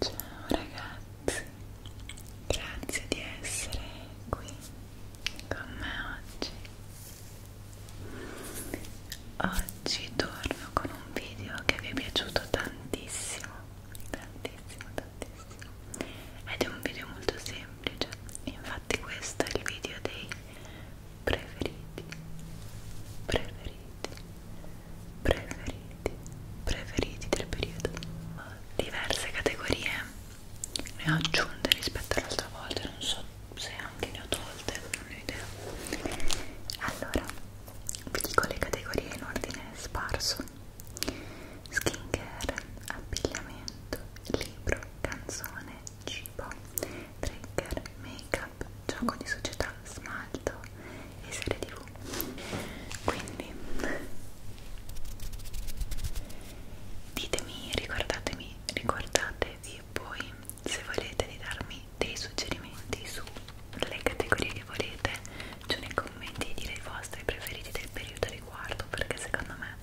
Ciao ragazzi, grazie di essere qui con me oggi. Oggi torno con un video che vi è piaciuto tantissimo, tantissimo, tantissimo. Ed è un video molto semplice, infatti questo è il video dei preferiti, preferiti preferiti preferiti preferiti del periodo diverse categorie ne ho aggiunte rispetto all'altra volta non so se anche ne ho tolte non ho idea allora vi dico le categorie in ordine sparso skincare abbigliamento libro canzone cibo trigger make app, gioco di società, smalto e serie tv quindi ditemi, ricordatemi, ricordatevi poi se volete di darmi dei suggerimenti sulle categorie che volete giù nei commenti dire i vostri preferiti del periodo riguardo perché secondo me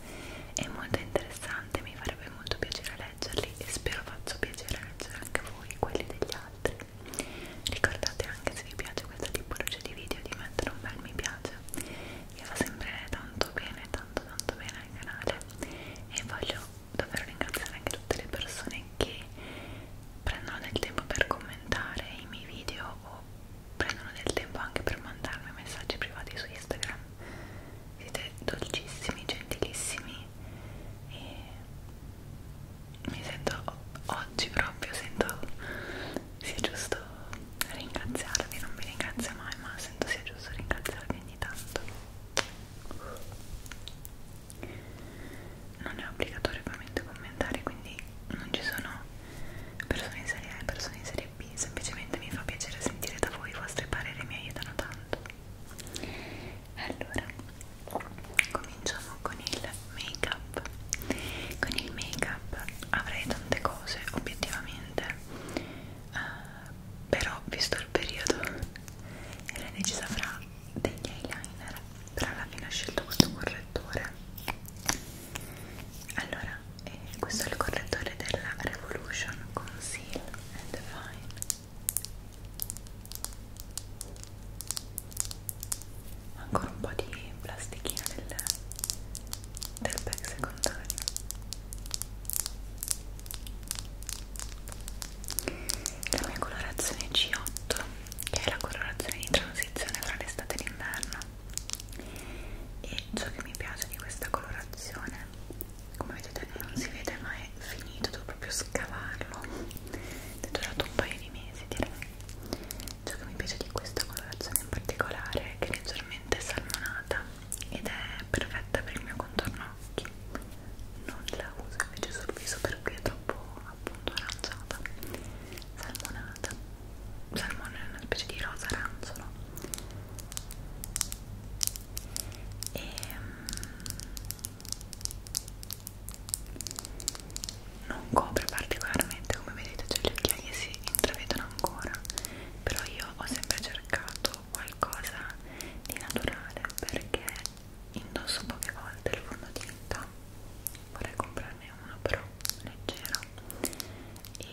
è molto interessante mi farebbe molto piacere leggerli e spero faccio piacere leggere anche a voi quelli degli altri Ricordate anche se vi piace questa tipologia di video di mettere un bel mi piace, vi fa sempre tanto bene, tanto tanto bene al canale e voglio davvero ringraziare anche tutte le persone che prendono del tempo per commentare i miei video o prendono del tempo anche per mandarmi messaggi privati su Instagram. Siete dolcissimi, gentilissimi e mi sento oggi proprio sento sia giusto ringraziarvi non vi ringrazio mai ma sento sia giusto ringraziarvi ogni tanto non è obbligatorio ovviamente commentare quindi non ci sono persone in serie A e persone in serie B semplicemente mi fa piacere sentire da voi i vostri pareri mi aiutano tanto allora cominciamo con il make up con il make up avrei tante cose obiettivamente uh, però visto il periodo era decisa fra degli eyeliner però alla fine ho scelto questo correttore allora eh, questo è il correttore della Revolution Conceal and Define ancora un po' di plastichina del, del pack secondario la mia colorazione C8 che è la colorazione di transizione tra l'estate e l'inverno e ciò che mi piace di questa colorazione come vedete non si vede ma è è finito, devo proprio scavarlo è durato un paio di mesi direi ciò che mi piace di questa colorazione in particolare è che è leggermente salmonata ed è perfetta per il mio contorno occhi non la uso invece sul viso perché è troppo appunto aranciata salmonata salmone è una specie di rosa aranzolo e ehm, non copre particolarmente come vedete cioè le occhiaie si intravedono ancora però io ho sempre cercato qualcosa di naturale perché indosso poche volte il fondotinta vorrei comprarne uno però leggero e,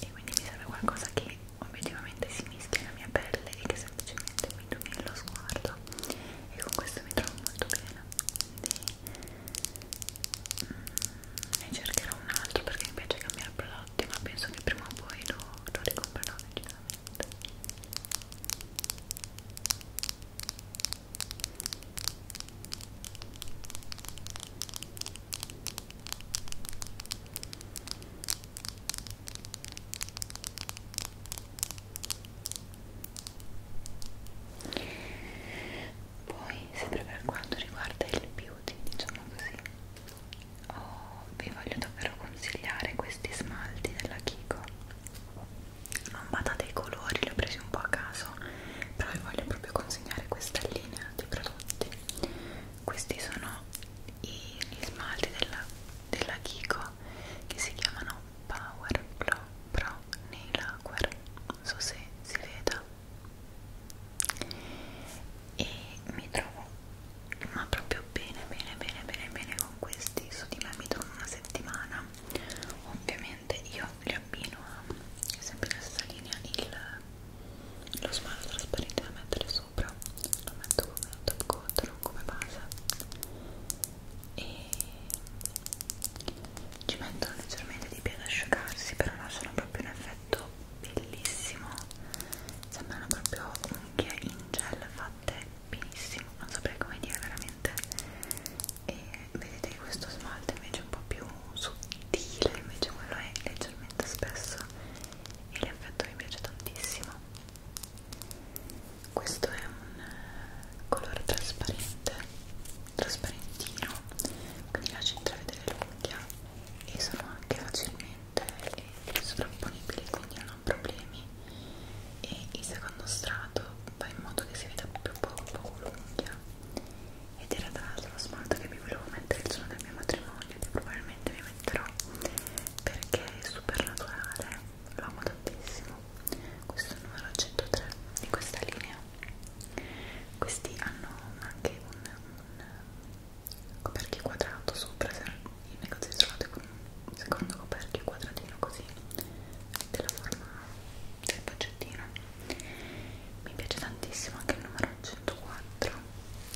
e quindi mi serve qualcosa che obiettivamente si mischia alla mia pelle e che semplicemente mi raggiungere lo sguardo e con questo mi trovo molto bene quindi mm, ne cercherò un altro perché mi piace cambiare prodotti ma penso che prima o poi lo, lo ricomprerò decisamente poi sempre per quanto riguarda il beauty diciamo così oh, vi voglio davvero consigliare questi smalti della Kiko non badate i colori li ho presi un po' a caso però vi voglio proprio consigliare questa linea di prodotti questi sono i, gli smalti della, della Kiko che si chiamano Power Pro Pro Nail Lacquer non so se si veda e mi trovo ma proprio bene bene bene bene bene con questi su di me mi trovo una settimana ovviamente io li abbino a sempre la stessa linea il, lo smalto trasparente da mettere sopra lo metto come top coat non come base e ci mettono leggermente di più ad asciugarsi però lasciano proprio un effetto bellissimo sembrano proprio unghie in gel fatte benissimo non saprei come dire veramente e vedete che questo smalto invece è un po' più sottile invece quello è leggermente spesso e l'effetto mi piace tantissimo questo è un eh, colore trasparente trasparentino quindi lascia intravedere l'unghia e sono anche facilmente eh, sovrapponibili quindi non ho problemi e il secondo strato fa in modo che si veda più poco, poco l'unghia ed era tra l'altro lo smalto che mi volevo mettere il giorno del mio matrimonio che probabilmente mi metterò perché è super naturale lo amo tantissimo nuovo questo è il numero 103 di questa linea questi hanno anche un, un coperchio quadrato sopra il negozio isolato con un secondo coperchio quadratino così della forma del paccettino mi piace tantissimo anche il numero 104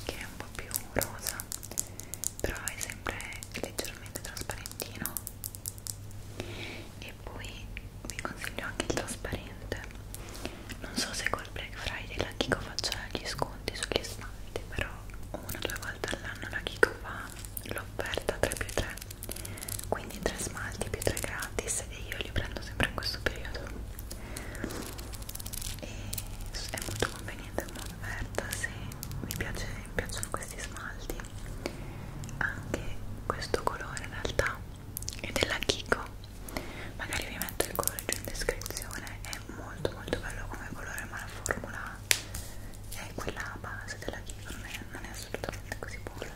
che è un po' più rosa però è sempre leggermente trasparentino e poi vi consiglio anche il trasparente non so se col Black Friday la Kiko faccia gli sconti sugli smalti però una o due volte all'anno la Kiko fa l'offerta 3 più 3 quindi 3 smalti più 3 gratis e io li prendo sempre in questo periodo e è molto conveniente come offerta se vi, piace, vi piacciono questi smalti anche questo colore in realtà è della Kiko magari vi metto il colore giù in descrizione è molto molto bello come colore ma la formula è quella base della Kiko non è, non è assolutamente così buona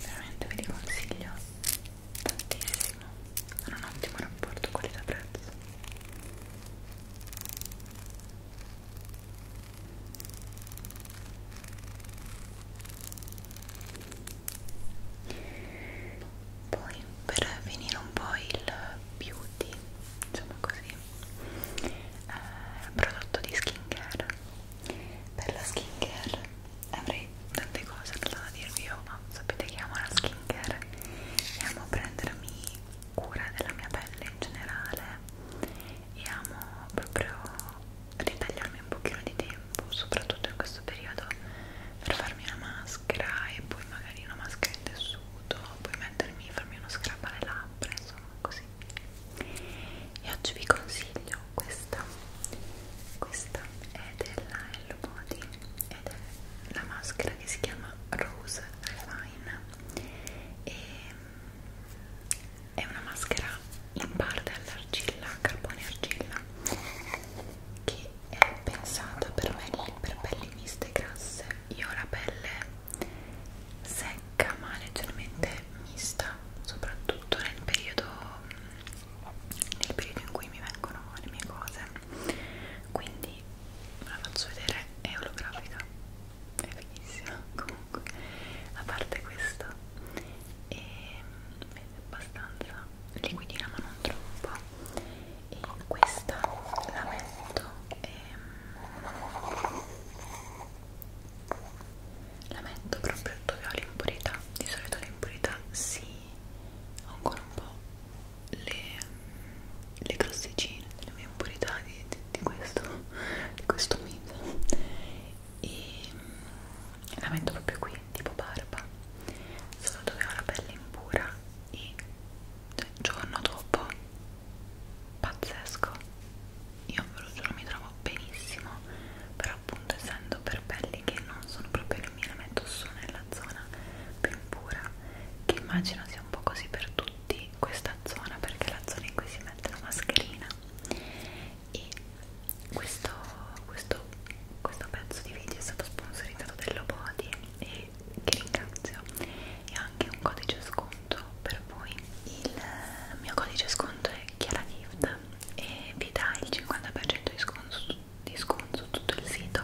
veramente ve li consiglio tantissimo hanno un ottimo rapporto qualità prezzo poi per finire un po' il beauty diciamo così eh, prodotto di skincare per la skincare avrei tante cose da dirvi io ma sapete che amo la skincare e amo prendermi cura della mia pelle in generale e amo proprio ritagliarmi un pochino di tempo soprattutto in questo periodo per farmi una maschera e poi magari una maschera in tessuto poi mettermi, farmi uno scrub alle labbra insomma così e oggi vi consiglio questa questa è della Hello Body ed è la maschera che si chiama Rose Refine e mm, è una maschera in parte alla argilla, carbone argilla che è pensata per, belli, per pelli miste grasse io ho la pelle secca ma leggermente mista soprattutto nel periodo nel periodo in cui mi vengono le mie cose quindi ve la faccio vedere è olografica è fighissima comunque a parte questo e mm, è abbastanza liquidina ma non troppo e questa la metto ehm, la metto proprio dove ho l'impurità di solito l'impurità si ancora un po' le, le crosticine delle mie impurità di, di, di questo di questo mito e la metto proprio qui, tipo barba solo dove ho la pelle impura e cioè, giorno dopo pazzesco io ve lo giuro mi trovo benissimo però appunto essendo per pelli che non sono proprio le mie la metto su nella zona più impura che immagino sia un po' così per tutti questa zona perché è la zona in cui si mette la mascherina e questo, questo, questo pezzo di video è stato sponsorizzato dell'Obody e che ringrazio e anche un codice sconto per voi il mio codice sconto è ChiaraGift e vi dà il 50% di sconto, di sconto su tutto il sito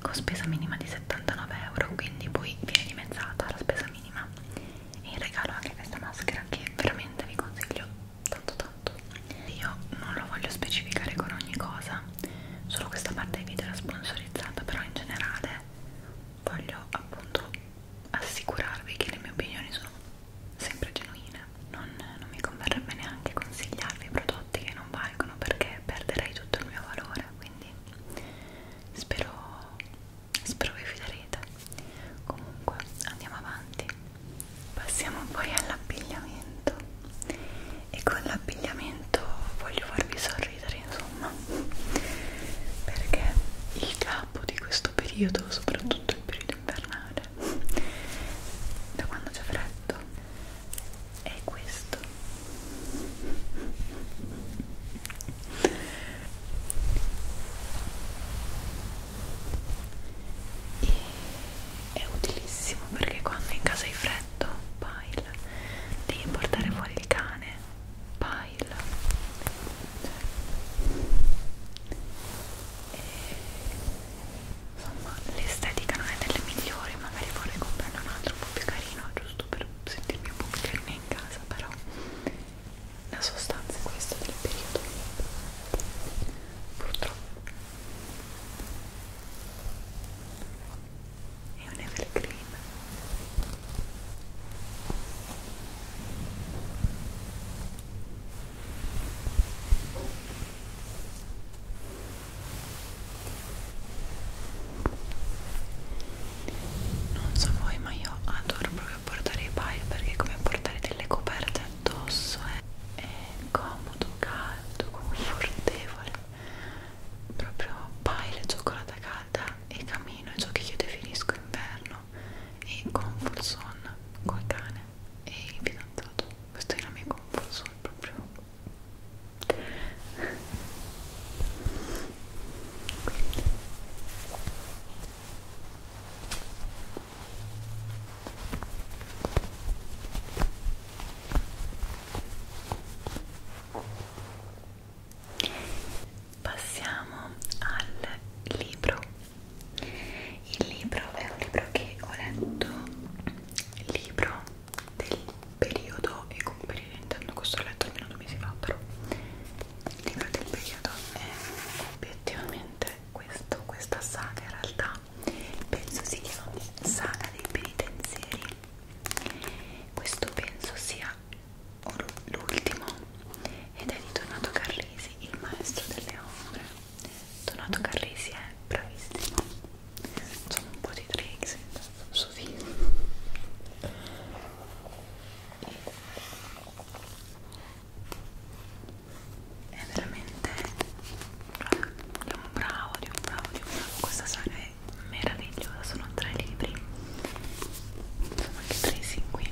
con spesa minima di 79 euro quindi poi viene dimezzata la spesa minima e in regalo anche questa maschera che veramente vi consiglio tanto tanto fatto io non lo voglio specificare con ogni cosa solo questa parte di video era sponsorizzata però in generale voglio appunto assicurarvi che le mie opinioni sono sempre genuine non, non mi converrebbe neanche consigliarvi prodotti che non valgono perché perderei tutto il mio valore quindi spero spero vi fiderete comunque andiamo avanti passiamo poi all'abbigliamento e con l'abbigliamento voglio farvi sorridere insomma perché il capo di questo periodo soprattutto il periodo invernale da quando c'è freddo è questo e è utilissimo perché quando in casa hai freddo pile devi portare fuori il cane pile e, cioè, insomma l'estetica non è delle migliori magari vorrei comprarne un altro un po' più carino giusto per sentirmi un po' più carina in casa però la sostanza è questa del periodo purtroppo è un evergreen non so voi ma io adoro proprio portare i pile perché è come portare delle coperte addosso è, è comodo, caldo, confortevole proprio paile, cioccolata calda e camino ciò che io definisco inverno e comfort zone col cane e il fidanzato questa è la mia comfort zone proprio Quindi. Passiamo al libro. Il libro è un libro che ho letto, il libro del periodo, e con periodo intendo questo ho letto almeno due mesi fa, però il libro del periodo è obiettivamente questo, questa saga in realtà sala penso si chiami sala dei penitenzieri questo penso sia l'ultimo ed è di Donato Carrisi il maestro delle ombre Donato Carrisi è bravissimo facciamo un po' di tricks su film è veramente di un bravo, di un bravo, di un bravo questa saga è meravigliosa, sono tre libri sono anche presi qui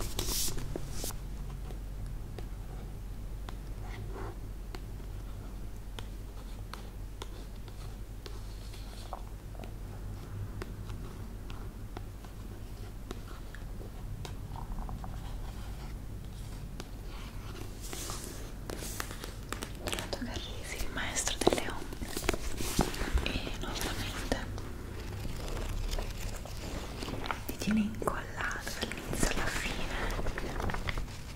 Renato Carrisi, il maestro delle ombre e nuovamente mi tiene incollato dall'inizio alla fine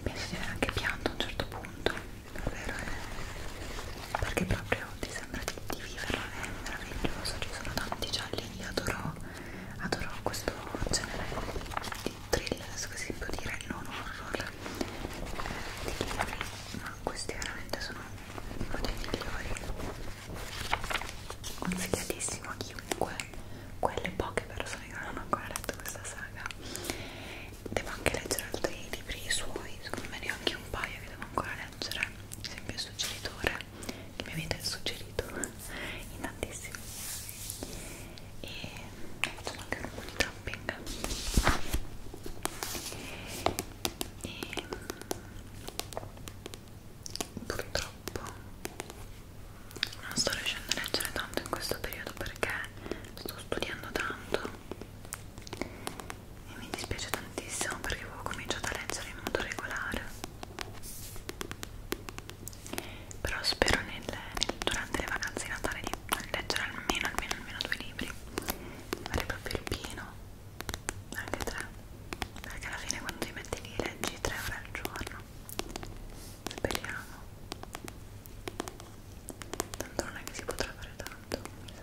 penso di aver anche pianto a un certo punto davvero è perché proprio ti sembra di, di viverlo è meraviglioso ci sono tanti gialli io adoro adoro questo genere di thriller, adesso che si può dire non horror eh, di libri, ma questi veramente sono uno dei migliori consigliatissimo a chiunque quelle poche persone che non hanno ancora letto questa saga devo anche leggere altri libri suoi secondo me ne ho anche un paio che devo ancora leggere ad esempio il suggeritore che mi avete suggerito in tantissimi e facciamo anche un po' di tapping e purtroppo non sto riuscendo a leggere tanto in questo periodo perché sto studiando tanto e mi dispiace tantissimo perché avevo cominciato a leggere in modo regolare però spero nel, nel, durante le vacanze di Natale di leggere almeno almeno almeno due libri fare proprio il pieno anche tre perché alla fine quando ti metti lì leggi tre ore al giorno speriamo tanto non è che si potrà fare tanto mi sa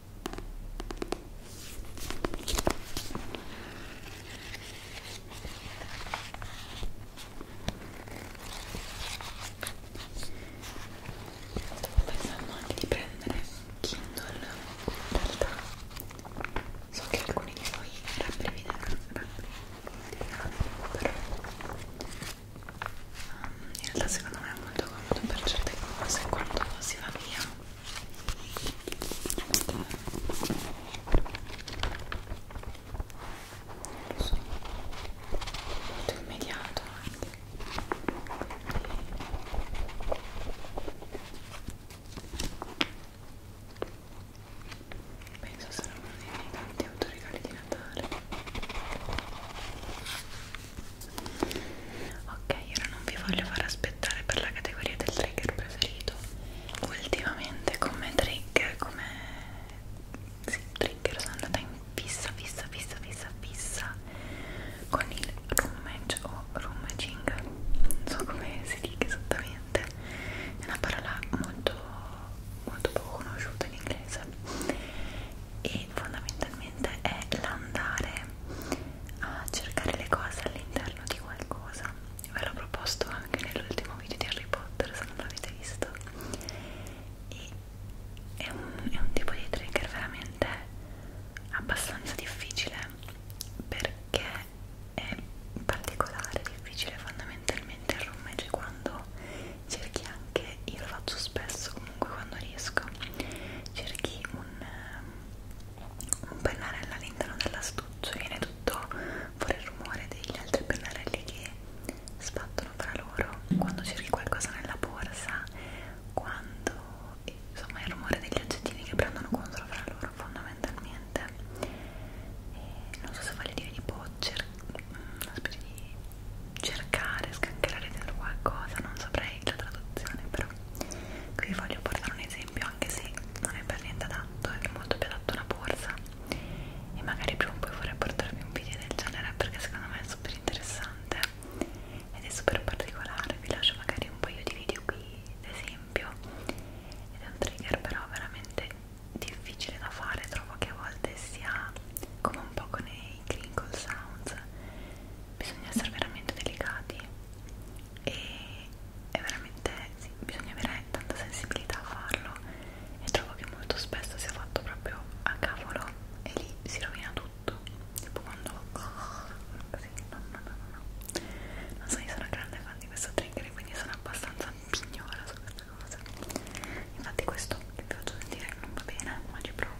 Stavo pensando anche di prendere Kindle in realtà so che alcuni di voi rabbrivideranno però um, in realtà secondo me è molto comodo per certe cose quando si va via sono molto immediato anche penso sarà uno dei miei tanti autoregali di Natale ok ora non vi voglio far aspettare per la categoria del trigger preferito ultimamente come trigger come sì, trigger sono andata in fissa fissa fissa fissa fissa con il rummage o rummaging non so come si dica esattamente è una parola molto molto poco conosciuta in inglese e fondamentalmente è l'andare a cercare le cose all'interno di qualcosa ve l'ho proposto anche nell'ultimo video di Harry Potter se non l'avete visto e è un, è un tipo di trigger veramente abbastanza difficile perché è particolare, difficile fondamentalmente il rummeggio quando cerchi anche, io lo faccio spesso comunque quando riesco cerchi un un pennarello all'interno dell'astuccio e viene tutto fuori il rumore degli altri pennarelli che sbattono fra loro quando cerchi qualcosa nella borsa quando insomma il rumore degli oggettini che prendono contro fra loro fondamentalmente e non so se vale dire tipo cer una specie di cercare, scancherare dentro qualcosa non saprei la traduzione però qui vi voglio portare un esempio anche se non è per niente adatto è molto più adatto una borsa e magari prima o poi vorrei portarvi un video del genere perché secondo me è super interessante ed è super particolare vi lascio magari un paio di video qui d'esempio ed è un trigger però veramente difficile da fare trovo che a volte sia come un po' con i crinkle sounds bisogna essere veramente delicati e è veramente sì, bisogna avere tanta sensibilità a farlo e trovo che molto spesso sia fatto proprio a cavolo e lì si rovina tutto tipo quando così no no no no non so io sono grande fan di questo trigger quindi sono abbastanza pignola su questa cosa infatti questo che vi faccio sentire non va bene ma ci provo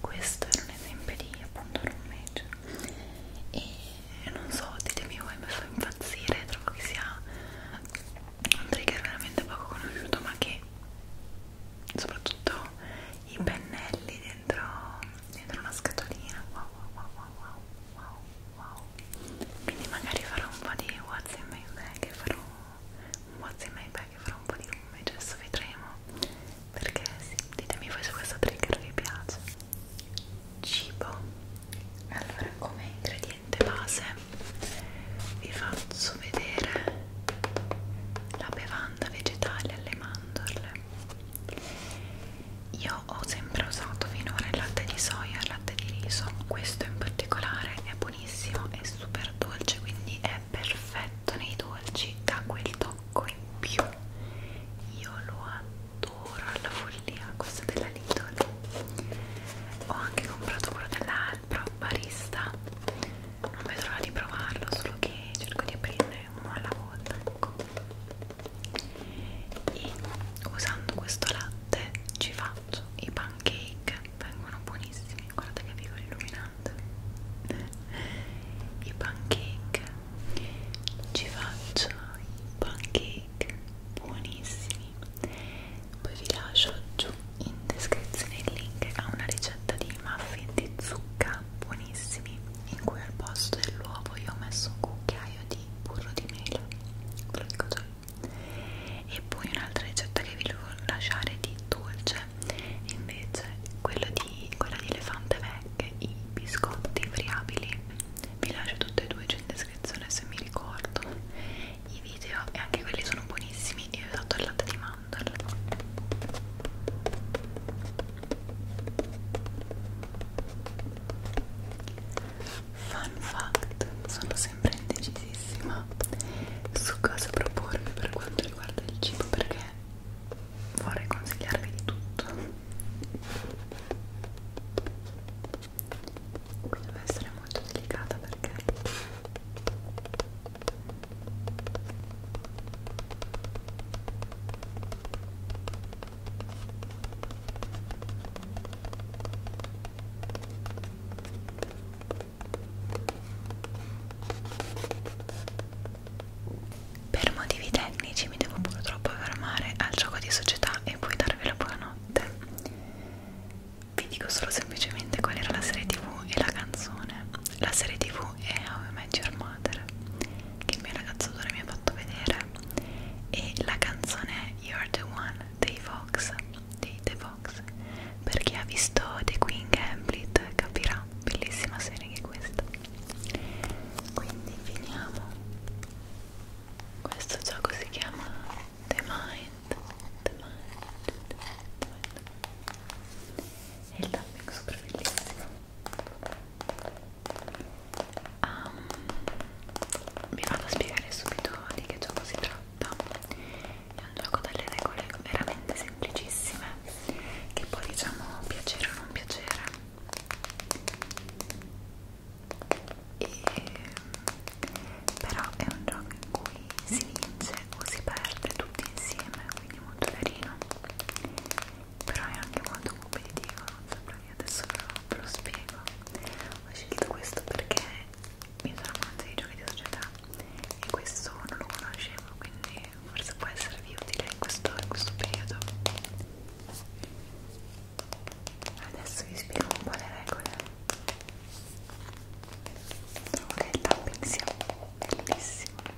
questo era un esempio di appunto roommates e non so ditemi voi mi fa impazzire trovo che sia un trigger veramente poco conosciuto ma che soprattutto i pennelli dentro, dentro una scatolina wow wow wow wow wow wow quindi magari farò un po' di what's in my bag e farò un what's in my bag sai che farò un po' di lume, cioè adesso vedremo perché sì, ditemi voi se questo trigger vi piace cibo allora come ingrediente base vi faccio vedere la bevanda vegetale alle mandorle io ho sempre usato finora il latte di soia e il latte di riso questo in particolare è buonissimo è super dolce quindi è è perfetto nei dolci, dà quel tocco in più. Io lo adoro alla follia, questo della Lidl. Ho anche comprato quello della Alpro Barista. Non vedo l'ora di provarlo, solo che cerco di aprire uno alla volta. Ecco. E usando questo latte ci faccio i pancake veramente vengono buonissimi guarda che vivo illuminante i pancake ci faccio i pancake buonissimi poi vi lascio giù in descrizione il link a una ricetta di muffin di zucca buonissimi in cui al posto dell'uovo io ho messo un cucchiaio di burro di mela ve lo dico già e poi un'altra ricetta che vi devo lasciare di dolce invece quello di, quella di Elefante Vecchie, i biscotti friabili vi lascio tutte e due in descrizione se mi ricordo i video e anche quelli sono buonissimi io ho usato il latte di mandorla fun fact sono sempre indecisissima su cosa proporvi per quanto riguarda il cibo perché vorrei consigliarvi di tutto devo essere molto delicata perché per motivi tecnici mi devo purtroppo fermare al gioco di società e poi darvi la buonanotte. Vi dico solo semplicemente qual era la serie tv e la canzone. La serie tv è How I Met Your Mother, che il mio ragazzatore mi ha fatto vedere, e la canzone è You're the One dei Vox, dei The Vox Fox per chi ha visto The Queen Gambit capirà bellissima serie che è questa quindi finiamo questo gioco si chiama The Mind The Mind, The Mind, The Mind. e il tapping super bellissimo um, vi vado a spiegare subito di che gioco si tratta è un gioco dalle regole veramente semplicissime che poi diciamo piacere o non piacere e, però è un gioco in cui si vince o si perde tutti insieme quindi molto carino però è anche molto competitivo non saprò io adesso ve lo, ve lo spiego ho scelto questo perché mi sono amante di giochi di società e questo non lo conoscevo quindi forse può esservi utile in questo, in questo periodo adesso vi spiego un po' le regole trovo diciamo che il tapping sia bellissimo un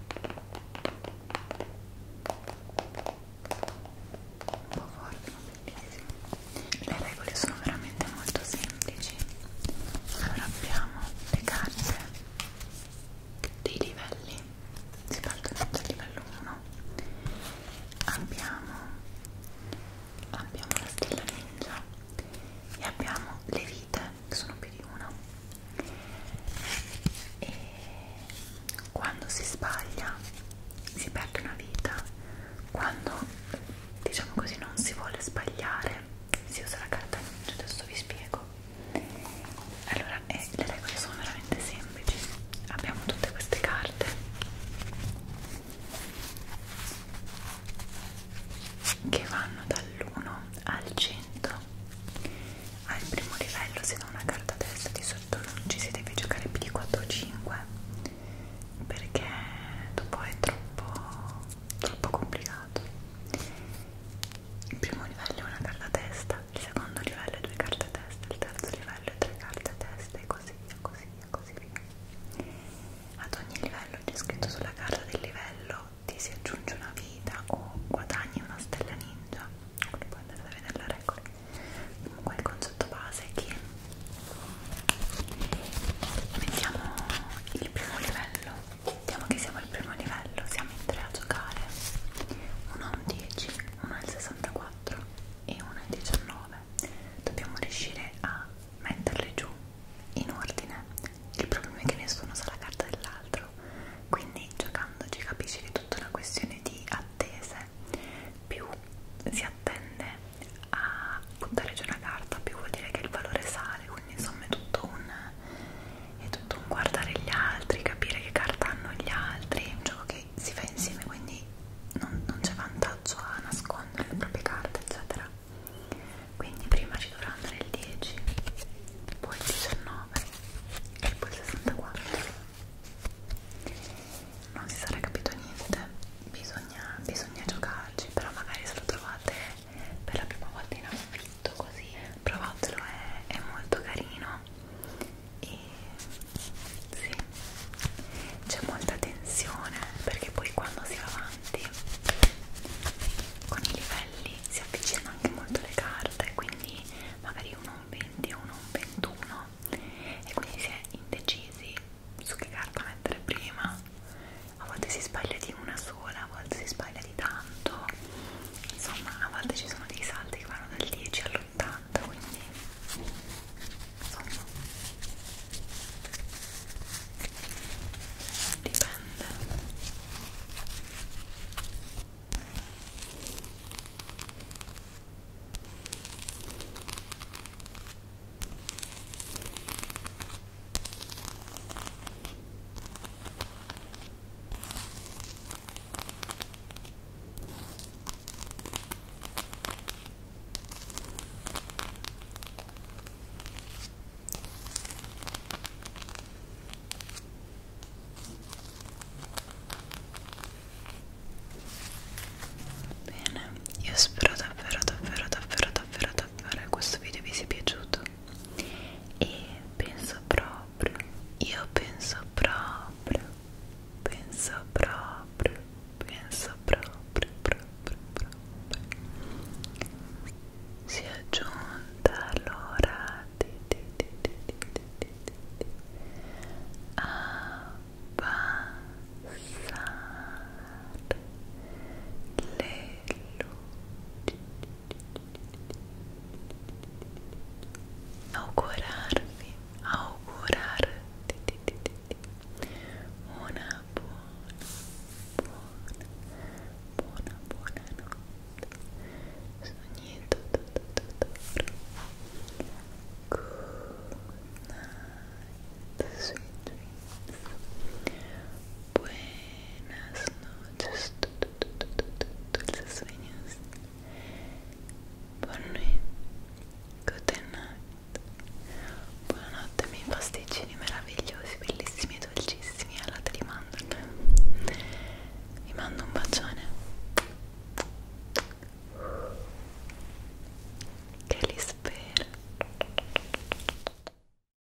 po' forte ma bellissimo le regole sono veramente molto semplici allora abbiamo le carte dei livelli si parte dal livello 1 abbiamo, abbiamo la stella ninja e abbiamo le vite che sono più di una e quando si sbaglia si perde una vita quando diciamo così non si vuole sbagliare si usa la cartapaccia, adesso vi spiego. Allora, eh, le regole sono veramente semplici. Abbiamo tutte queste carte. Che vanno dall'1 al 100. Al primo livello, se da una carta a testa di sotto non ci si deve giocare più di 4 o 5 perché dopo è troppo troppo complicato il primo livello è una carta a testa il secondo livello è due carte a testa il terzo livello è tre carte a testa e così via, così via, così via ad ogni livello c'è scritto sulla carta del livello ti si aggiunge una vita o guadagni una stella ninja quindi puoi andare a vedere le regole comunque il concetto base è che mettiamo il primo livello Vediamo che siamo al primo livello, siamo in tre a giocare. Uno a un 10, uno al 64 e uno al 19. Dobbiamo riuscire a metterle giù in ordine. Il problema è che nessuno sa la carta dell'altro. Quindi giocandoci capisci che è tutta una questione di attese. Più si attende a buttare giù una carta, più vuol dire che il valore sale, quindi insomma è tutto un è tutto un guardare gli altri, capire che carta hanno gli altri, è un gioco che si fa insieme quindi non, non c'è vantaggio a nascondere le proprie carte eccetera quindi prima ci dovrà andare il 10 poi il 19 e poi il 64 non si sarà capito niente bisogna, bisogna giocarci però magari se lo trovate per la prima volta in affitto così provatelo è, è molto carino e sì c'è molta tensione perché poi quando si va avanti con i livelli si avvicinano anche molto le carte quindi magari uno un 20 uno un 21 e quindi si è indecisi su che carta mettere prima a volte si sbaglia di una sola, a volte si sbaglia di tanto insomma a volte ci sono dei salti che vanno dal 10 all'80 quindi insomma dipende Bene, io spero davvero davvero davvero davvero davvero che questo video vi sia piaciuto e penso proprio, io penso proprio, penso proprio, penso proprio, proprio, proprio. Si è giunta l'ora di, di, di, di, di, di, di, di abbassare le luci augurarvi, augurarti una buona, buona, buona, buona notte. Good night, sweet dreams. Buenas noches, dulces sueños. Buon nuit, good night. Buonanotte, miei pasticcini meravigliosi, bellissimi e dolcissimi alla latte di mandorle. Vi mando un bacione. Che li spero.